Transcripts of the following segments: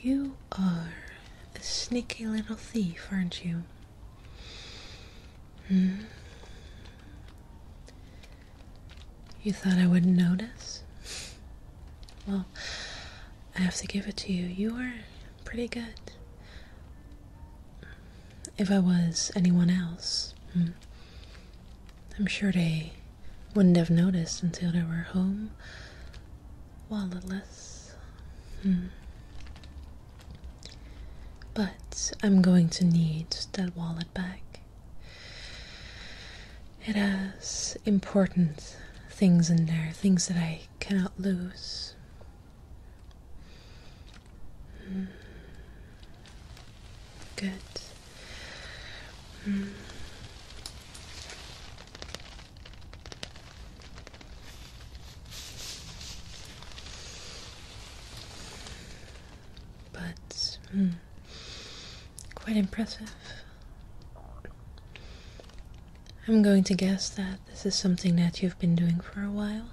You are a sneaky little thief, aren't you? Hmm? You thought I wouldn't notice? Well, I have to give it to you. You are pretty good. If I was anyone else, hmm, I'm sure they wouldn't have noticed until they were home. Walletless. Hmm. But I'm going to need that wallet back. It has important things in there, things that I cannot lose. Hmm. Good. But hmm, quite impressive. I'm going to guess that this is something that you've been doing for a while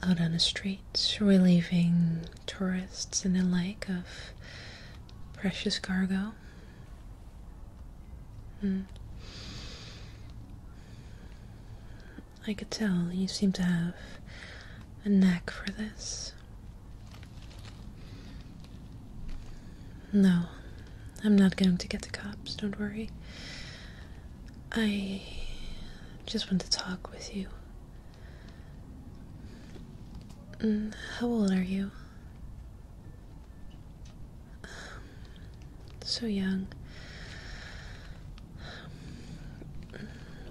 out on the streets, relieving tourists and the like of precious cargo. Hmm. I could tell you seem to have a knack for this. No, I'm not going to get the cops, don't worry. I just want to talk with you Mm, how old are you? Um, so young.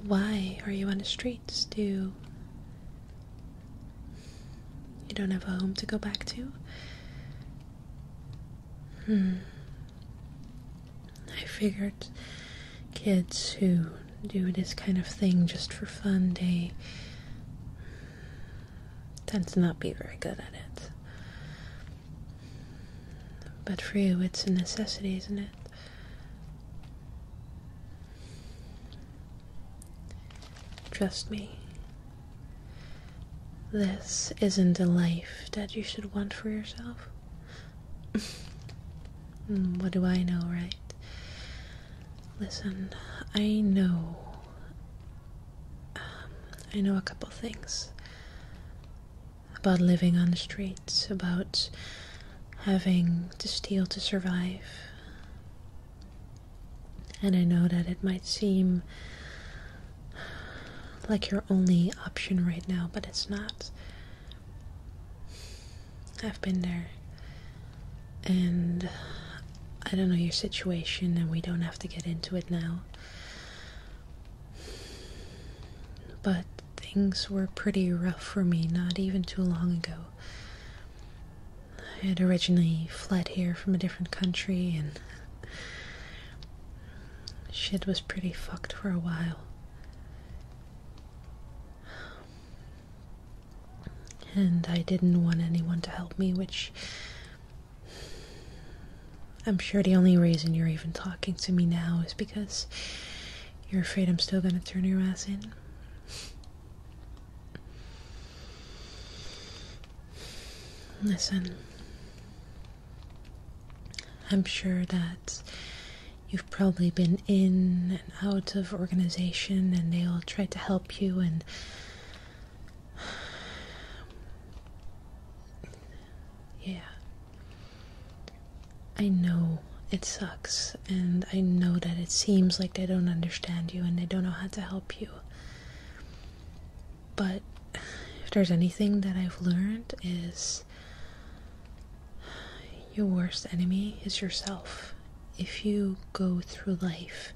Why are you on the streets? Do you, don't have a home to go back to? Hmm. I figured kids who do this kind of thing just for fun, they tend to not be very good at it. But for you, it's a necessity, isn't it? Trust me. This isn't a life that you should want for yourself. Mm, what do I know, right? Listen, I know. Um, I know a couple things about living on the streets, about having to steal to survive. And I know that it might seem like your only option right now, but it's not. I've been there. And I don't know your situation, and we don't have to get into it now. But things were pretty rough for me not even too long ago. I had originally fled here from a different country and Shit was pretty fucked for a while. And I didn't want anyone to help me, which. I'm sure the only reason you're even talking to me now is because you're afraid I'm still gonna turn your ass in. Listen, I'm sure that you've probably been in and out of organization and they all try to help you and yeah. I know it sucks, and I know that it seems like they don't understand you and they don't know how to help you. But if there's anything that I've learned is your worst enemy is yourself. If you go through life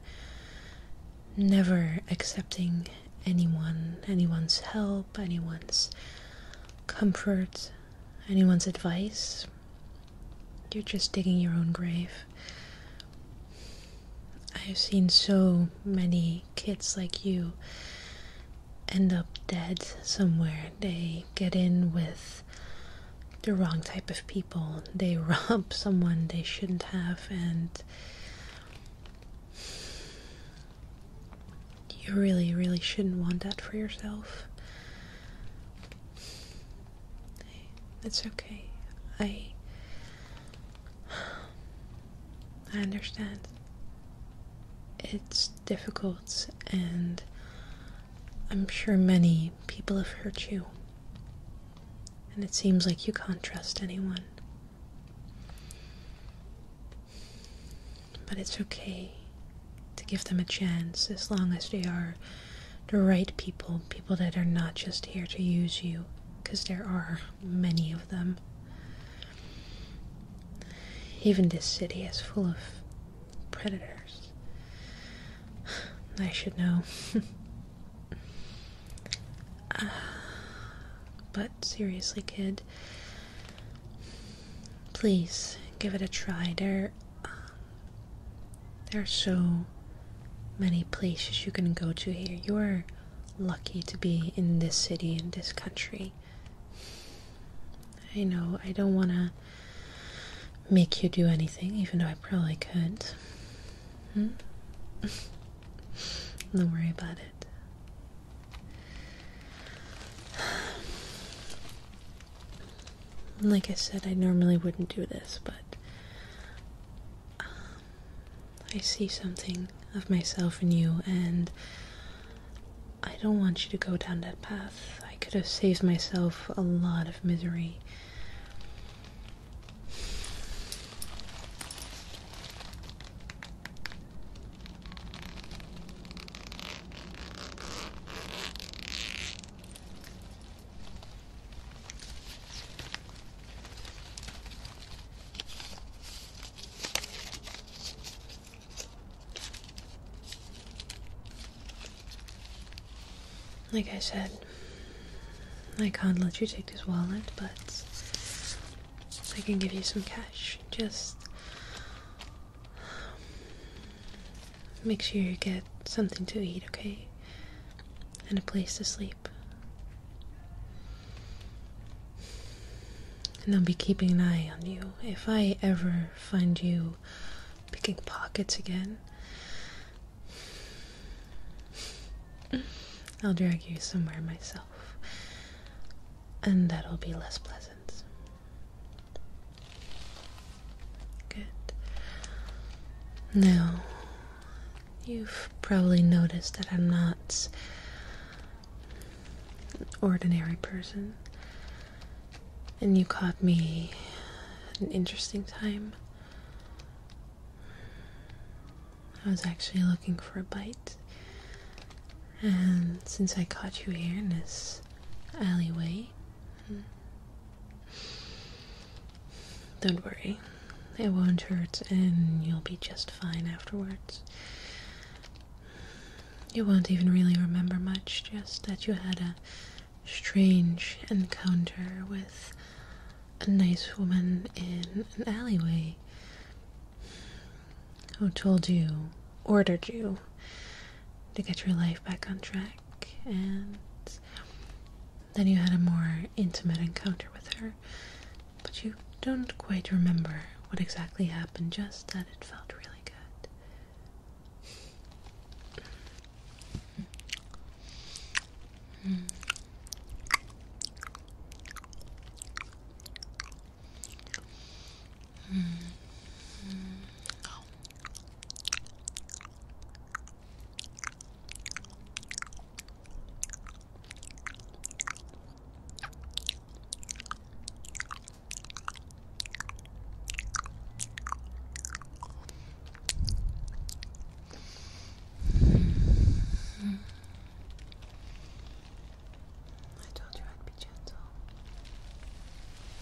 never accepting anyone, anyone's help, anyone's comfort, anyone's advice, you're just digging your own grave. I've seen so many kids like you end up dead somewhere. They get in with the wrong type of people. They rob someone they shouldn't have, and you really, really shouldn't want that for yourself. It's okay. I I understand. It's difficult, and I'm sure many people have hurt you. And it seems like you can't trust anyone. But it's okay to give them a chance as long as they are the right people, people that are not just here to use you because there are many of them. Even this city is full of predators. I should know. Uh, but seriously, kid, please give it a try. they are um, they are so many places you can go to here. You're lucky to be in this city, in this country. I know, I don't want to make you do anything, even though I probably could. Hmm? don't worry about it. Like I said, I normally wouldn't do this, but um, I see something of myself in you, and I don't want you to go down that path. I could have saved myself a lot of misery. Like I said, I can't let you take this wallet, but I can give you some cash. Just make sure you get something to eat, okay? And a place to sleep. And I'll be keeping an eye on you. If I ever find you picking pockets again, I'll drag you somewhere myself. And that'll be less pleasant. Good. Now, you've probably noticed that I'm not an ordinary person. And you caught me at an interesting time. I was actually looking for a bite. And since I caught you here in this alleyway, hmm, don't worry, it won't hurt and you'll be just fine afterwards. You won't even really remember much, just that you had a strange encounter with a nice woman in an alleyway who told you, ordered you, to get your life back on track and then you had a more intimate encounter with her, but you don't quite remember what exactly happened, just that it felt really good. Hmm. Hmm. Hmm. I told you I'd be gentle.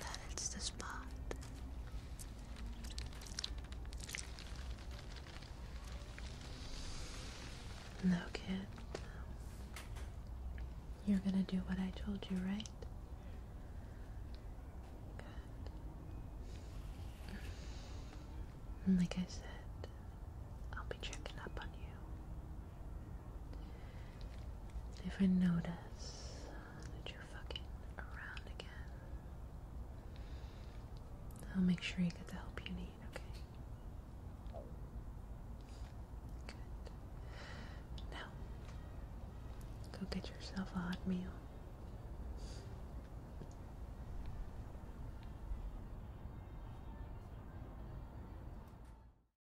that it's the spot. No, kid. You're gonna do what I told you, right? like I said, I'll be checking up on you. If I notice that you're fucking around again, I'll make sure you get the help you need, okay? Good. Now, go get yourself a hot meal.